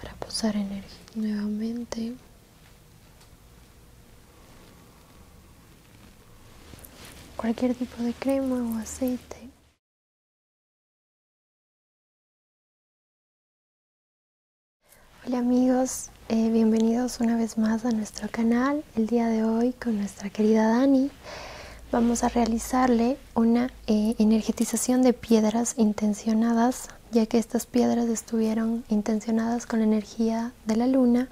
para posar energía nuevamente cualquier tipo de crema o aceite Hola amigos, eh, bienvenidos una vez más a nuestro canal. El día de hoy con nuestra querida Dani vamos a realizarle una eh, energetización de piedras intencionadas ya que estas piedras estuvieron intencionadas con la energía de la luna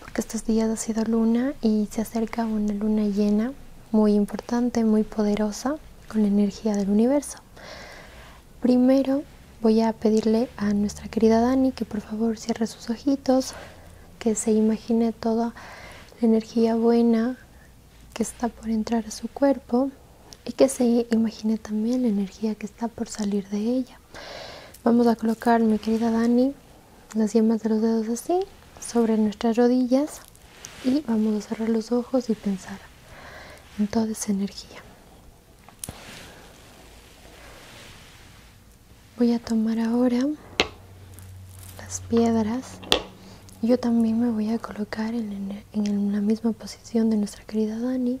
porque estos días ha sido luna y se acerca una luna llena muy importante, muy poderosa con la energía del universo primero voy a pedirle a nuestra querida Dani que por favor cierre sus ojitos que se imagine todo la energía buena que está por entrar a su cuerpo y que se imagine también la energía que está por salir de ella. Vamos a colocar, mi querida Dani, las yemas de los dedos así sobre nuestras rodillas y vamos a cerrar los ojos y pensar en toda esa energía. Voy a tomar ahora las piedras. Yo también me voy a colocar en, la misma posición de nuestra querida Dani.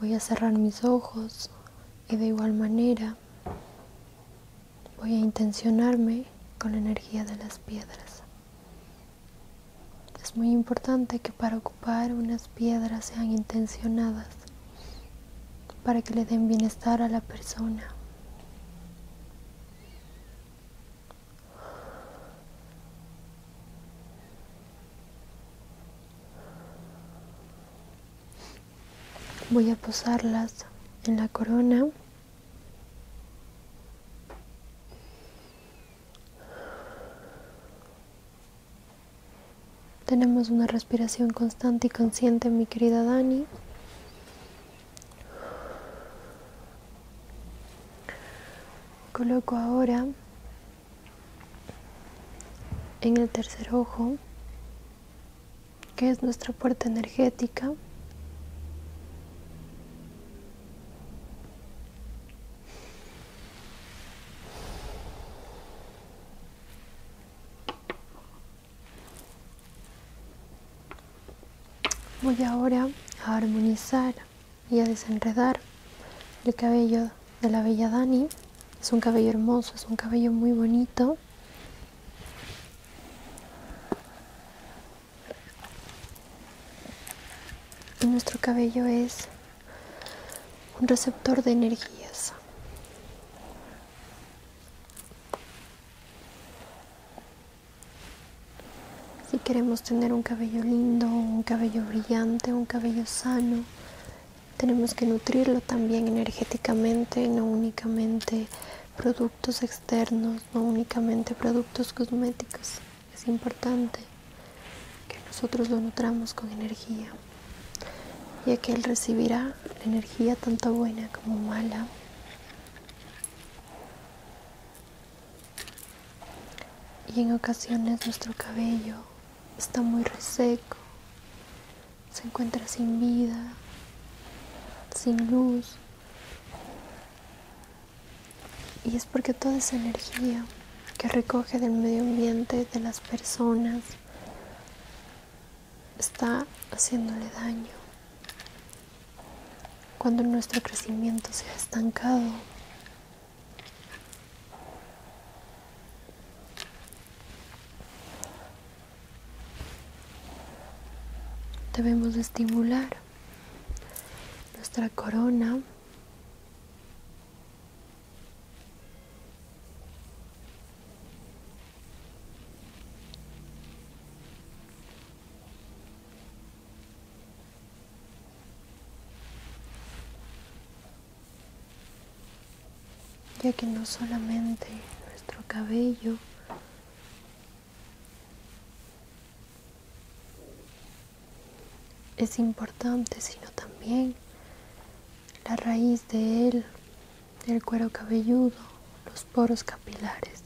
Voy a cerrar mis ojos y de igual manera voy a intencionarme con la energía de las piedras. Es muy importante que para ocupar unas piedras sean intencionadas para que le den bienestar a la persona. Voy a posarlas en la corona. Tenemos una respiración constante y consciente, mi querida Dani. Coloco ahora en el tercer ojo, que es nuestra puerta energética, Voy ahora a armonizar y a desenredar el cabello de la bella Dani. Es un cabello hermoso, es un cabello muy bonito. nuestro cabello es un receptor de energías. Si queremos tener un cabello lindo, un cabello brillante, un cabello sano, tenemos que nutrirlo también energéticamente, no únicamente productos externos, no únicamente productos cosméticos. Es importante que nosotros lo nutramos con energía, ya que él recibirá la, energía tanto buena como mala y en ocasiones nuestro cabello está muy reseco se encuentra sin vida sin luz y es porque toda esa energía que recoge del medio ambiente de las personas está haciéndole daño. Cuando nuestro crecimiento se ha estancado, debemos estimular nuestra corona ya que no solamente nuestro cabello es importante, sino también la raíz de él, del cuero cabelludo, los poros capilares.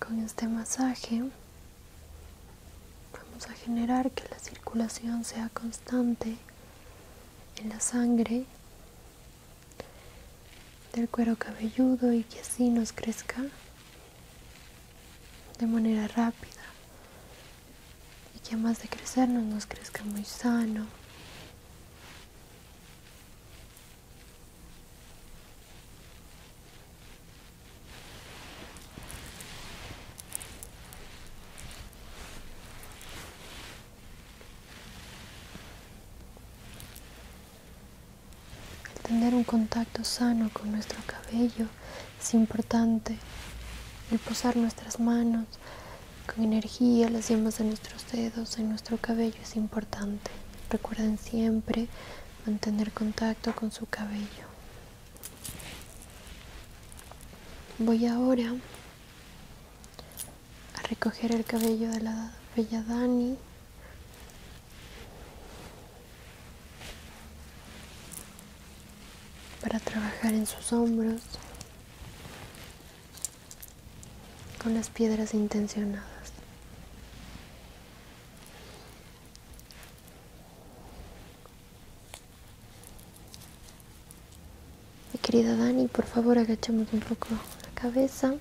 Con este masaje vamos a generar que la circulación sea constante en la sangre del cuero cabelludo y que así nos crezca de manera rápida y que además de crecernos nos crezca muy sano el tener un contacto sano con nuestro cabello es importante. El posar nuestras manos con energía, las yemas de nuestros dedos en nuestro cabello es importante. Recuerden siempre mantener contacto con su cabello. Voy ahora a recoger el cabello de la bella Dani. para trabajar en sus hombros con las piedras intencionadas. Mi querida Dani, por favor agachemos un poco la cabeza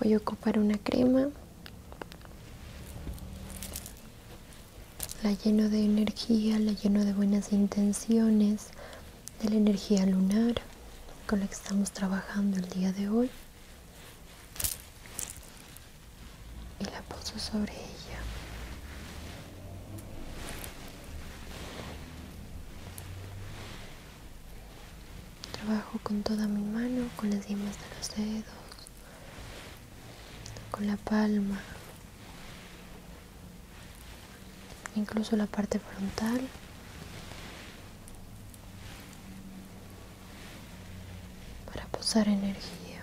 voy a ocupar una crema la lleno de energía la lleno de buenas intenciones de la energía lunar con la que estamos trabajando el día de hoy y la puso sobre ella Trabajo con toda mi mano, con las yemas de los dedos, con la palma, incluso la parte frontal. para posar energía.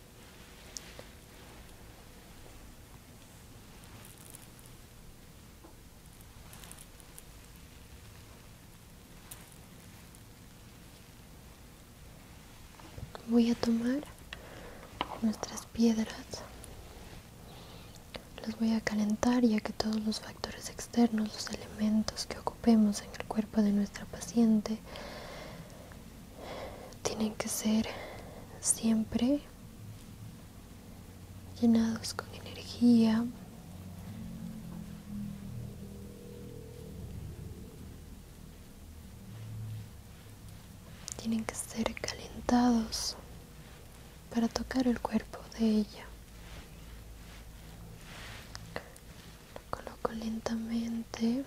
Voy a tomar nuestras piedras, las voy a calentar ya que todos los factores externos, los elementos que ocupemos en el cuerpo de nuestra paciente tienen que ser siempre llenados con energía. Tienen que ser calentados para tocar el cuerpo de ella. Lo coloco lentamente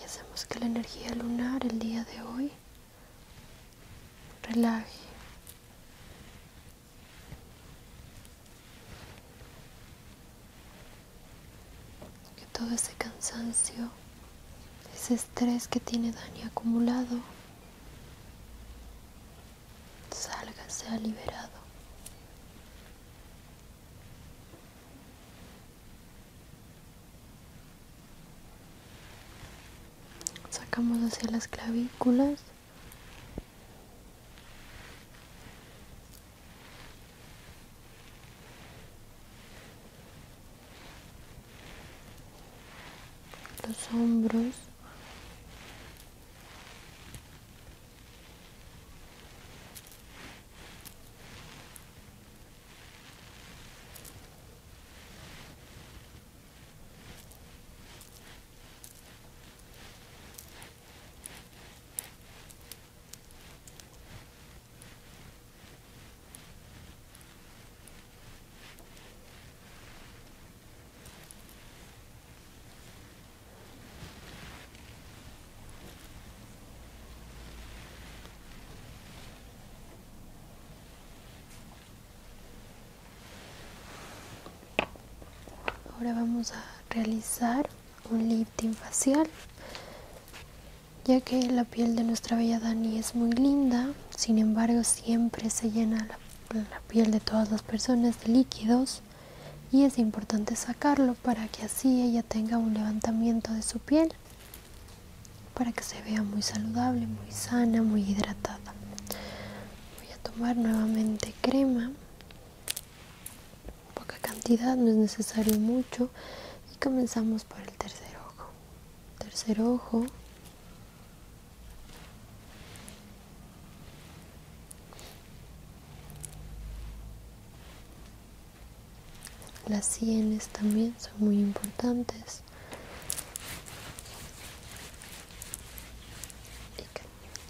y hacemos que la energía lunar el día de hoy relaje. Que todo ese cansancio, ese estrés que tiene Dani acumulado, salga ha liberado. Sacamos hacia las clavículas los hombros Ahora vamos a realizar un lifting facial ya que la piel de nuestra bella Dani es muy linda, sin embargo siempre se llena la la piel de todas las personas de líquidos y es importante sacarlo para que así ella tenga un levantamiento de su piel para que se vea muy saludable, muy sana, muy hidratada. Voy a tomar nuevamente crema, poca cantidad, no es necesario mucho y comenzamos por el tercer ojo tercer ojo. Las sienes también son muy importantes.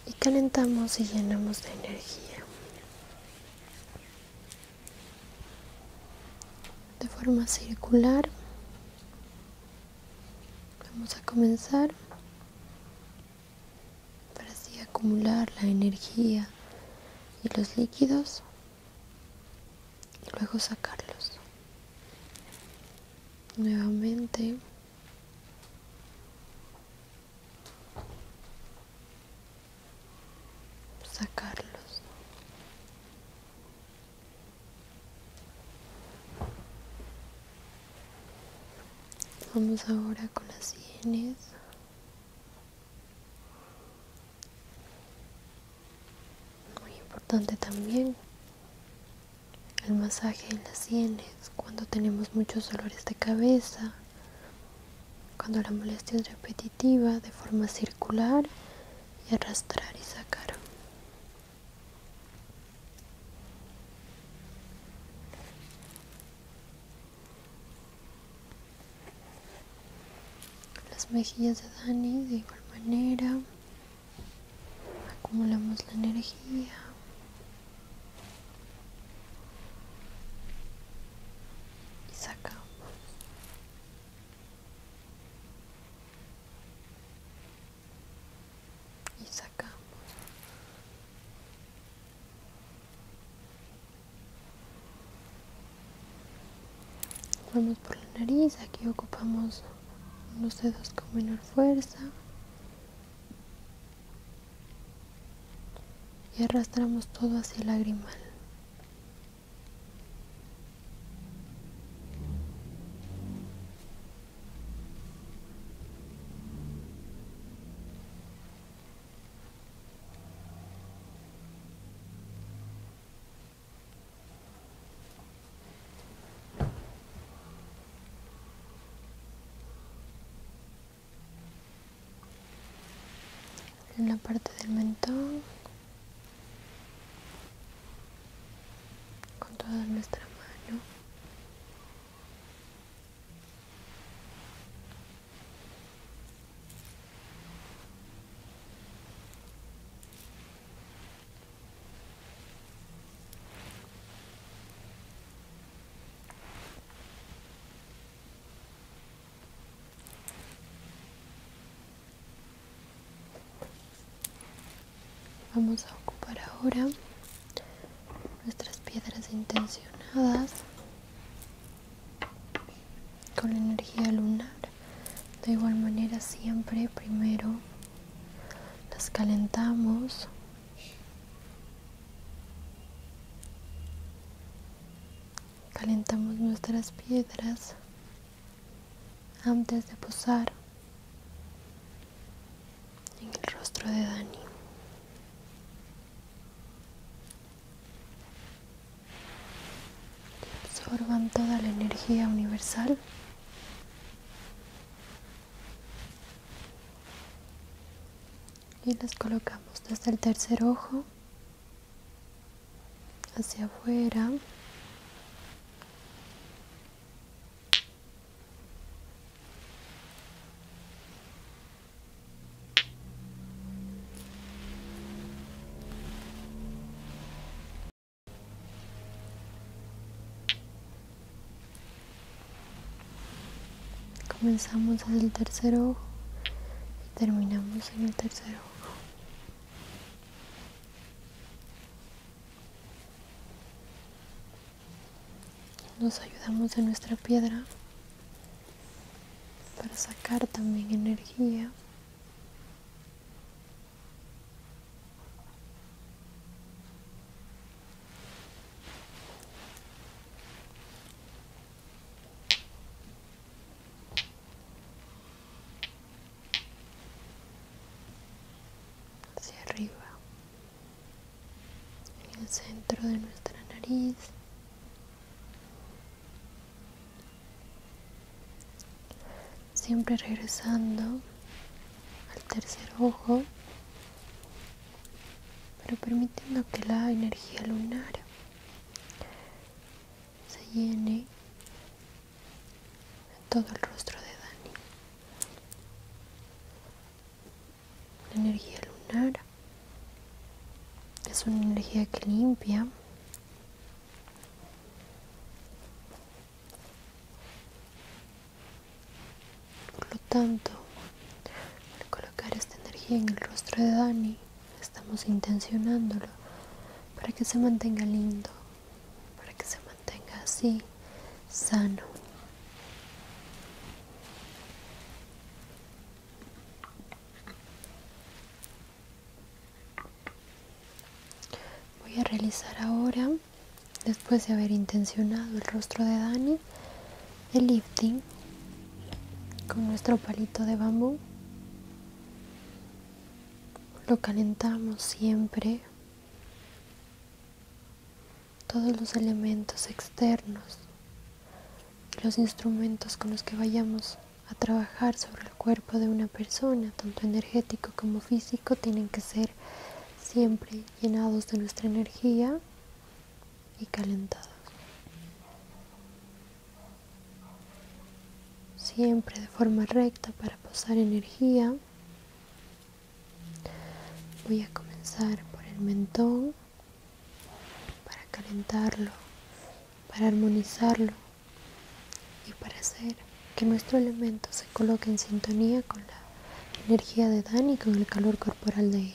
Y, calentamos y llenamos de energía. De forma circular Vamos a comenzar para así acumular la energía y los líquidos y luego sacarlos. Nuevamente. sacarlos Vamos ahora con las sienes. Muy importante también el masaje en las sienes cuando tenemos muchos dolores de cabeza, cuando la molestia es repetitiva de forma circular y arrastrar y sacar las mejillas de Dani de igual manera acumulamos la energía y sacamos y sacamos vamos por la nariz aquí ocupamos los dedos con menor fuerza y arrastramos todo hacia el lagrimal en la parte del mentón con toda nuestra mano Vamos a ocupar ahora nuestras piedras intencionadas con la energía lunar. De igual manera siempre primero las calentamos. Calentamos nuestras piedras antes de posar en el rostro de Dani. Absorban toda la energía universal. Y las colocamos desde el tercer ojo hacia afuera Comenzamos en el tercer ojo y terminamos en el tercer ojo. Nos ayudamos de nuestra piedra para sacar también energía hacia arriba en el centro de nuestra nariz siempre regresando al tercer ojo pero permitiendo que la energía lunar se llene en todo el rostro de Dani. La energía lunar es una energía que limpia. Por lo tanto, al colocar esta energía en el rostro de Dani, estamos intencionándolo para que se mantenga lindo, para que se mantenga así sano. Voy a realizar ahora, después de haber intencionado el rostro de Dani, el lifting con nuestro palito de bambú. Lo calentamos siempre todos los elementos externos los instrumentos con los que vayamos a trabajar sobre el cuerpo de una persona, tanto energético como físico, tienen que ser siempre llenados de nuestra energía y calentados. Siempre de forma recta para posar energía Voy a comenzar por el mentón para calentarlo, para armonizarlo y para hacer que nuestro elemento se coloque en sintonía con la energía de Dani y con el calor corporal de ella.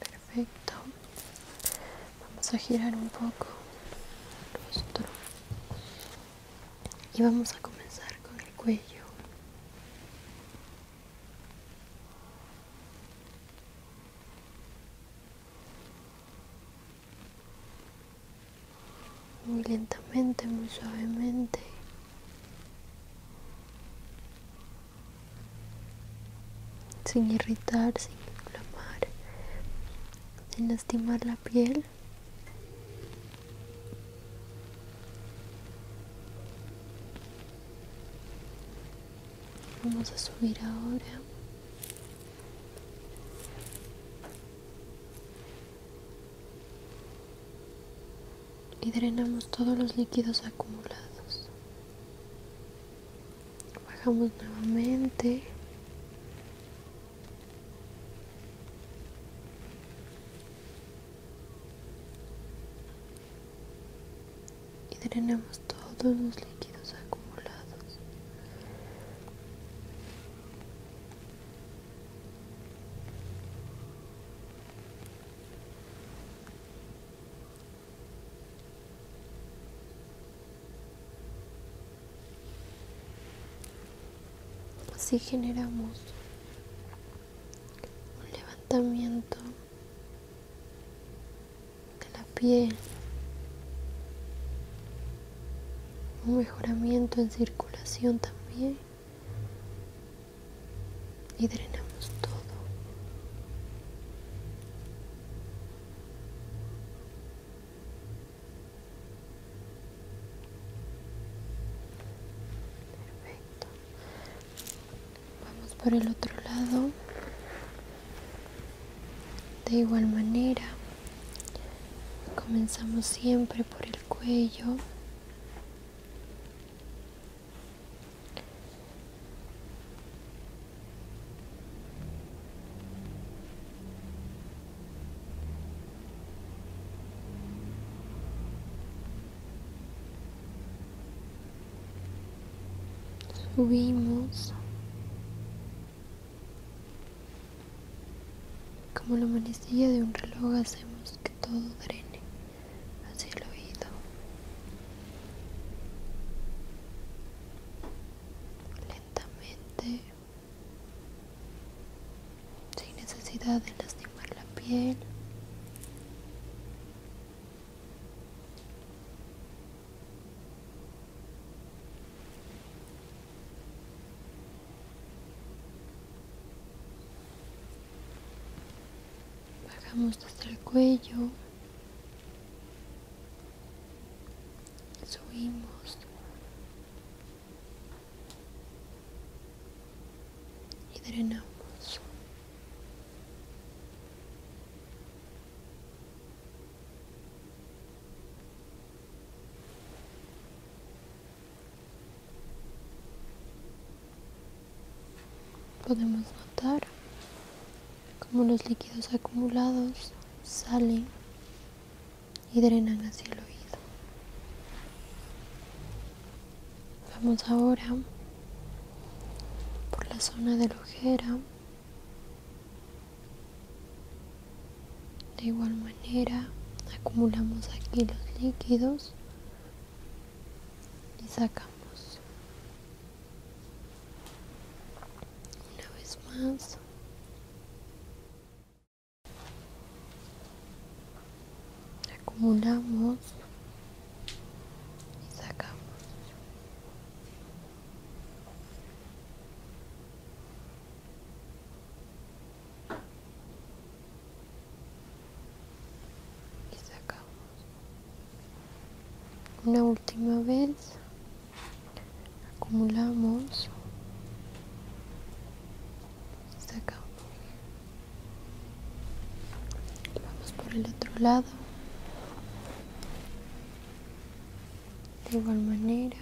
Perfecto. Vamos a girar un poco rostro y vamos a comenzar con el cuello. Muy lentamente, muy suavemente sin irritar, sin inflamar, sin lastimar la piel. Vamos a subir ahora y drenamos todos los líquidos acumulados. Bajamos nuevamente. Y drenamos todos los líquidos acumulados. Así generamos un levantamiento de la piel, un mejoramiento en circulación también y drenamos todo. Perfecto. Vamos por el otro lado. De igual manera, comenzamos siempre por el cuello subimos como la manecilla de un reloj hacemos que todo drene hacia el oído. Lentamente, sin necesidad de lastimar la piel bajamos hasta el cuello subimos y drenamos Podemos notar cómo los líquidos acumulados salen y drenan hacia el oído. Vamos ahora por la zona de la ojera. De igual manera acumulamos aquí los líquidos y sacamos una vez más acumulamos y sacamos y sacamos una última vez acumulamos sacamos vamos por el otro lado de igual manera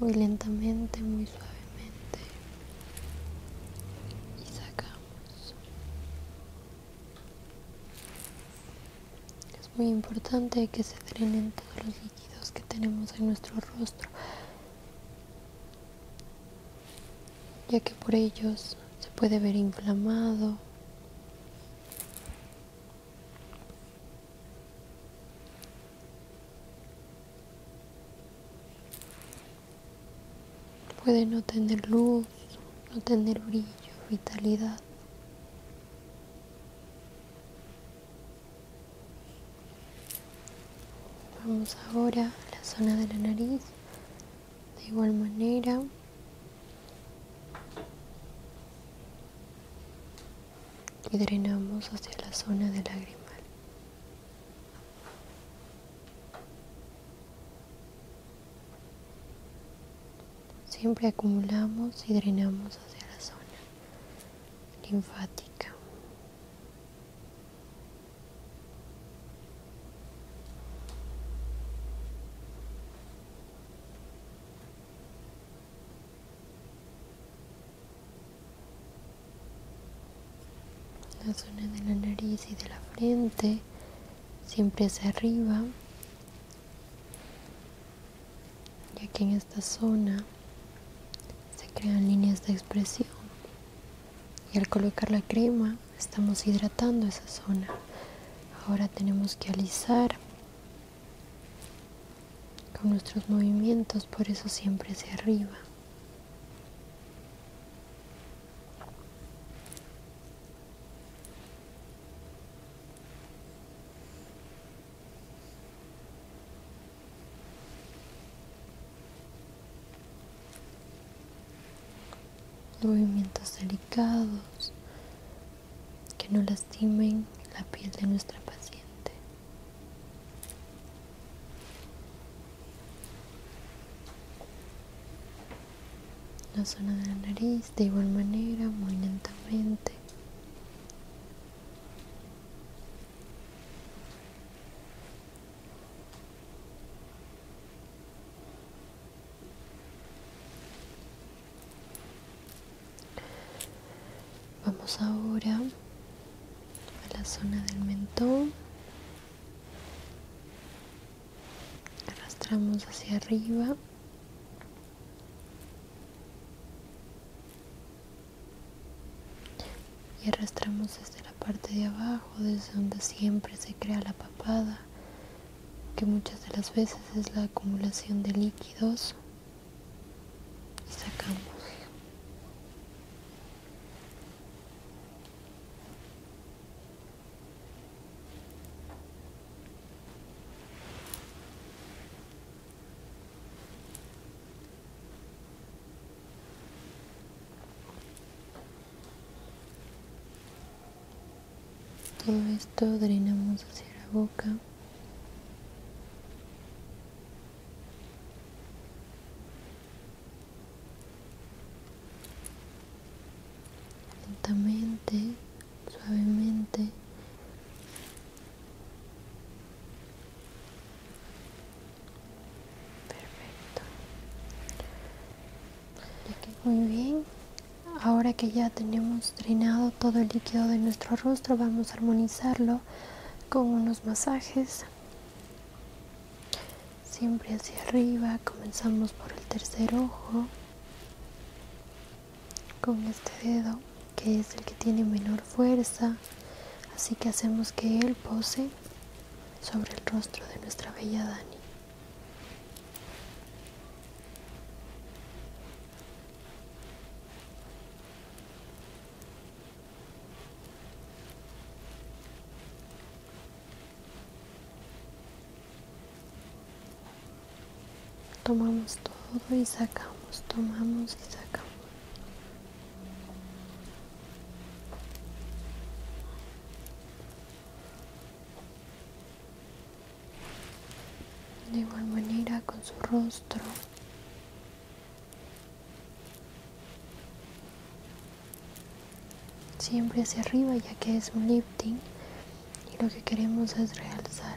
muy lentamente, muy suavemente y sacamos. Es muy importante que se drenen todos los líquidos que tenemos en nuestro rostro, ya que por ellos se puede ver inflamado. Puede no tener luz, no tener brillo, vitalidad. Vamos ahora a la zona de la nariz. De igual manera, y drenamos hacia la zona del lagrimal. Siempre acumulamos y drenamos hacia la zona linfática. La zona de la nariz y de la frente siempre hacia arriba, ya que en esta zona se crean líneas de expresión. Y al colocar la crema estamos hidratando esa zona. Ahora tenemos que alisar con nuestros movimientos, por eso siempre hacia arriba. movimientos delicados que no lastimen la piel de nuestra paciente la zona de la nariz de igual manera muy lentamente Vamos ahora a la zona del mentón. Arrastramos hacia arriba. Y arrastramos desde la parte de abajo, desde donde siempre se crea la papada, que muchas de las veces es la acumulación de líquidos sacamos. Todo esto drenamos hacia la boca lentamente, suavemente. Perfecto. Muy bien. Ahora que ya tenemos drenado todo el líquido de nuestro rostro, vamos a armonizarlo con unos masajes siempre hacia arriba comenzamos por el tercer ojo con este dedo que es el que tiene menor fuerza así que hacemos que él pose sobre el rostro de nuestra bella Dani Tomamos todo y sacamos, tomamos y sacamos. De igual manera con su rostro siempre hacia arriba ya que es un lifting y lo que queremos es realzar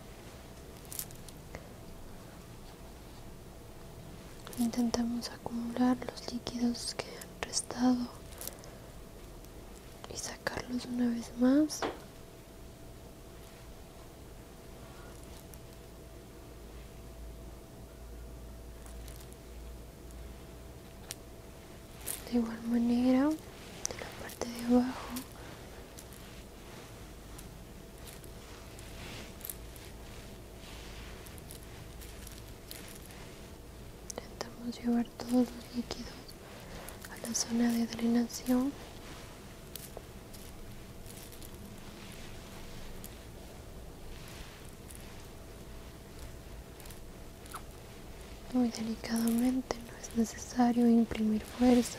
Intentamos acumular los líquidos que han restado y sacarlos una vez más. De igual manera, de la parte de abajo Intentamos llevar todos los líquidos a la zona de drenación. Muy delicadamente, no es necesario imprimir fuerza.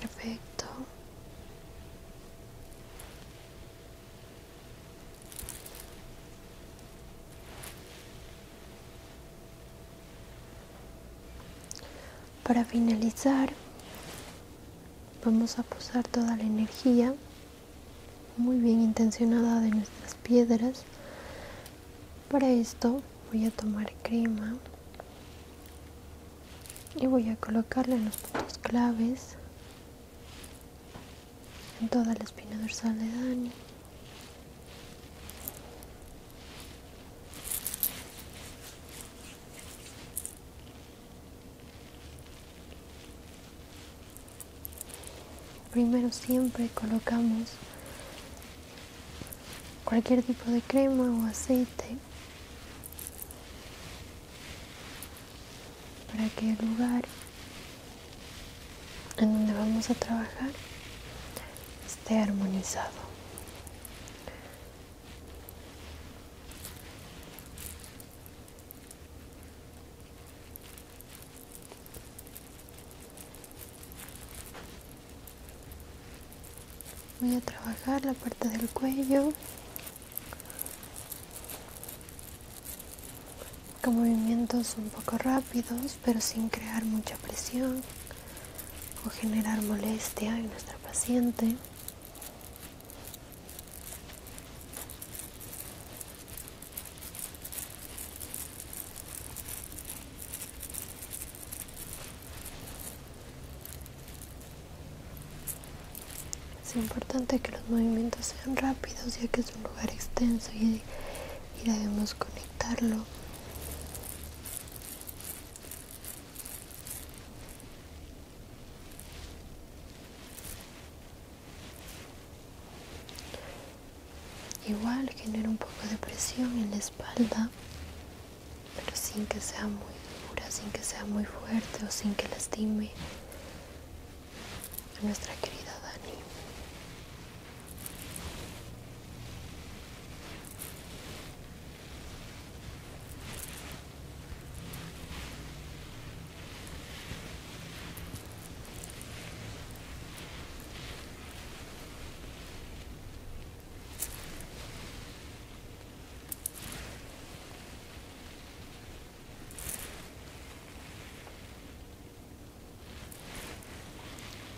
Perfecto. Para finalizar, vamos a posar toda la energía muy bien intencionada de nuestras piedras. Para esto voy a tomar crema y voy a colocarle los puntos claves en toda la espina dorsal de Dani primero siempre colocamos cualquier tipo de crema o aceite para que el lugar en donde vamos a trabajar esté armonizado voy a trabajar la parte del cuello con movimientos un poco rápidos pero sin crear mucha presión o generar molestia en nuestra paciente es importante que los movimientos sean rápidos ya que es un lugar extenso y, debemos conectarlo. Igual genera un poco de presión en la espalda pero sin que sea muy dura, sin que sea muy fuerte o sin que lastime a nuestra querida Dani.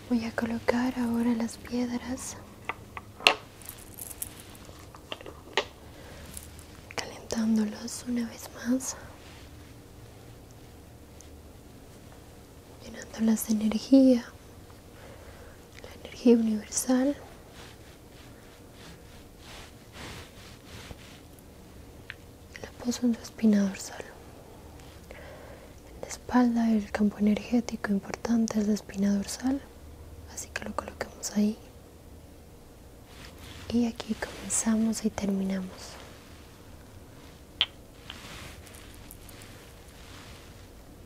Voy a colocar ahora las piedras calentándolas una vez más llenándolas de energía la energía universal la poso en su espina dorsal en la espalda el campo energético importante es la espina dorsal así que lo colocamos ahí y aquí comenzamos y terminamos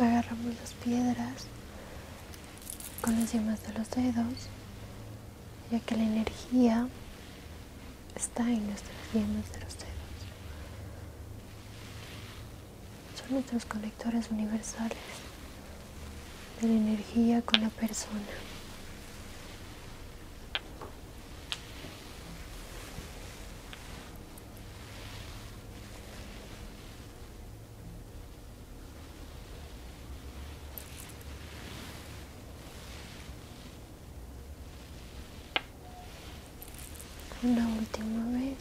Agarramos las piedras con las yemas de los dedos, ya que la energía está en nuestras yemas de los dedos son nuestros conectores universales de la energía con la persona una última vez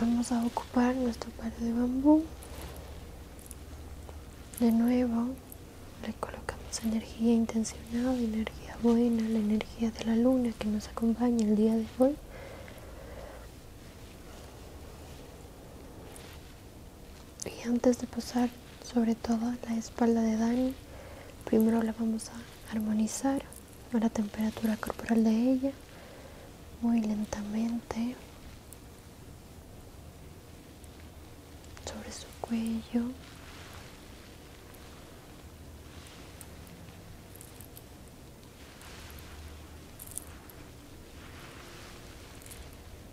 vamos a ocupar nuestro par de bambú de nuevo le colocamos energía intencionada energía buena la energía de la luna que nos acompaña el día de hoy y antes de pasar sobre todo la espalda de Dani primero la vamos a armonizar a la temperatura corporal de ella muy lentamente sobre su cuello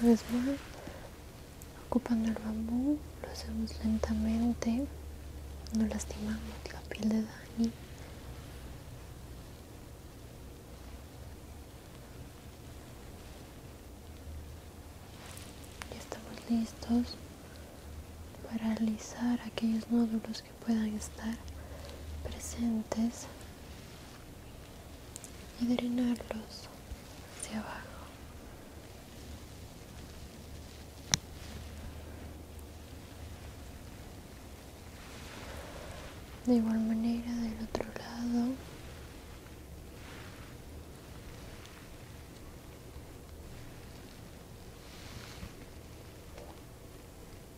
Una vez más, ocupando el bambú, lo hacemos lentamente, no lastimamos la piel de Dani. Ya estamos listos para alisar aquellos nódulos puedan estar presentes y drenarlos hacia abajo. De igual manera del otro lado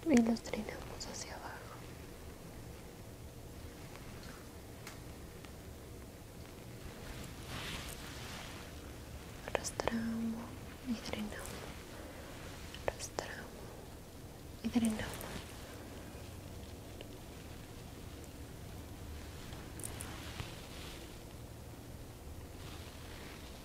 y los drenamos hacia abajo. Arrastramos y drenamos. Arrastramos y drenamos.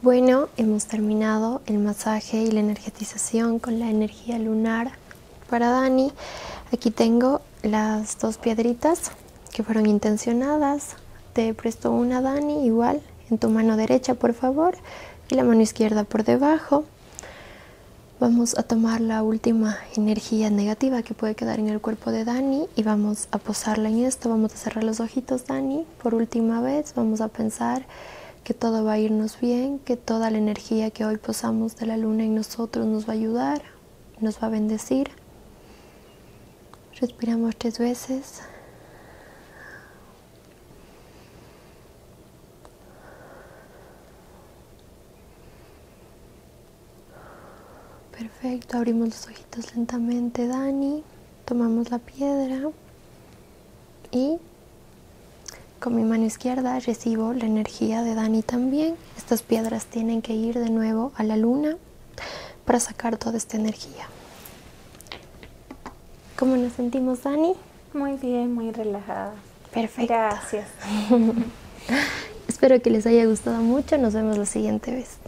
Bueno, hemos terminado el masaje y la energetización con la energía lunar para Dani. Aquí tengo las dos piedritas que fueron intencionadas. Te presto una, Dani, igual, en tu mano derecha, por favor, y la mano izquierda por debajo. Vamos a tomar la última energía negativa que puede quedar en el cuerpo de Dani y vamos a posarla en esto. Vamos a cerrar los ojitos, Dani por última vez, vamos a pensar que todo va a irnos bien, que toda la energía que hoy posamos de la luna en nosotros nos va a ayudar, nos va a bendecir. Respiramos tres veces. Perfecto, abrimos los ojitos lentamente, Dani tomamos la piedra y con mi mano izquierda recibo la energía de Dani también. Estas piedras tienen que ir de nuevo a la luna para sacar toda esta energía. ¿Cómo nos sentimos, Dani? Muy bien, muy relajada. Perfecto. Gracias. Espero que les haya gustado mucho. Nos vemos la siguiente vez.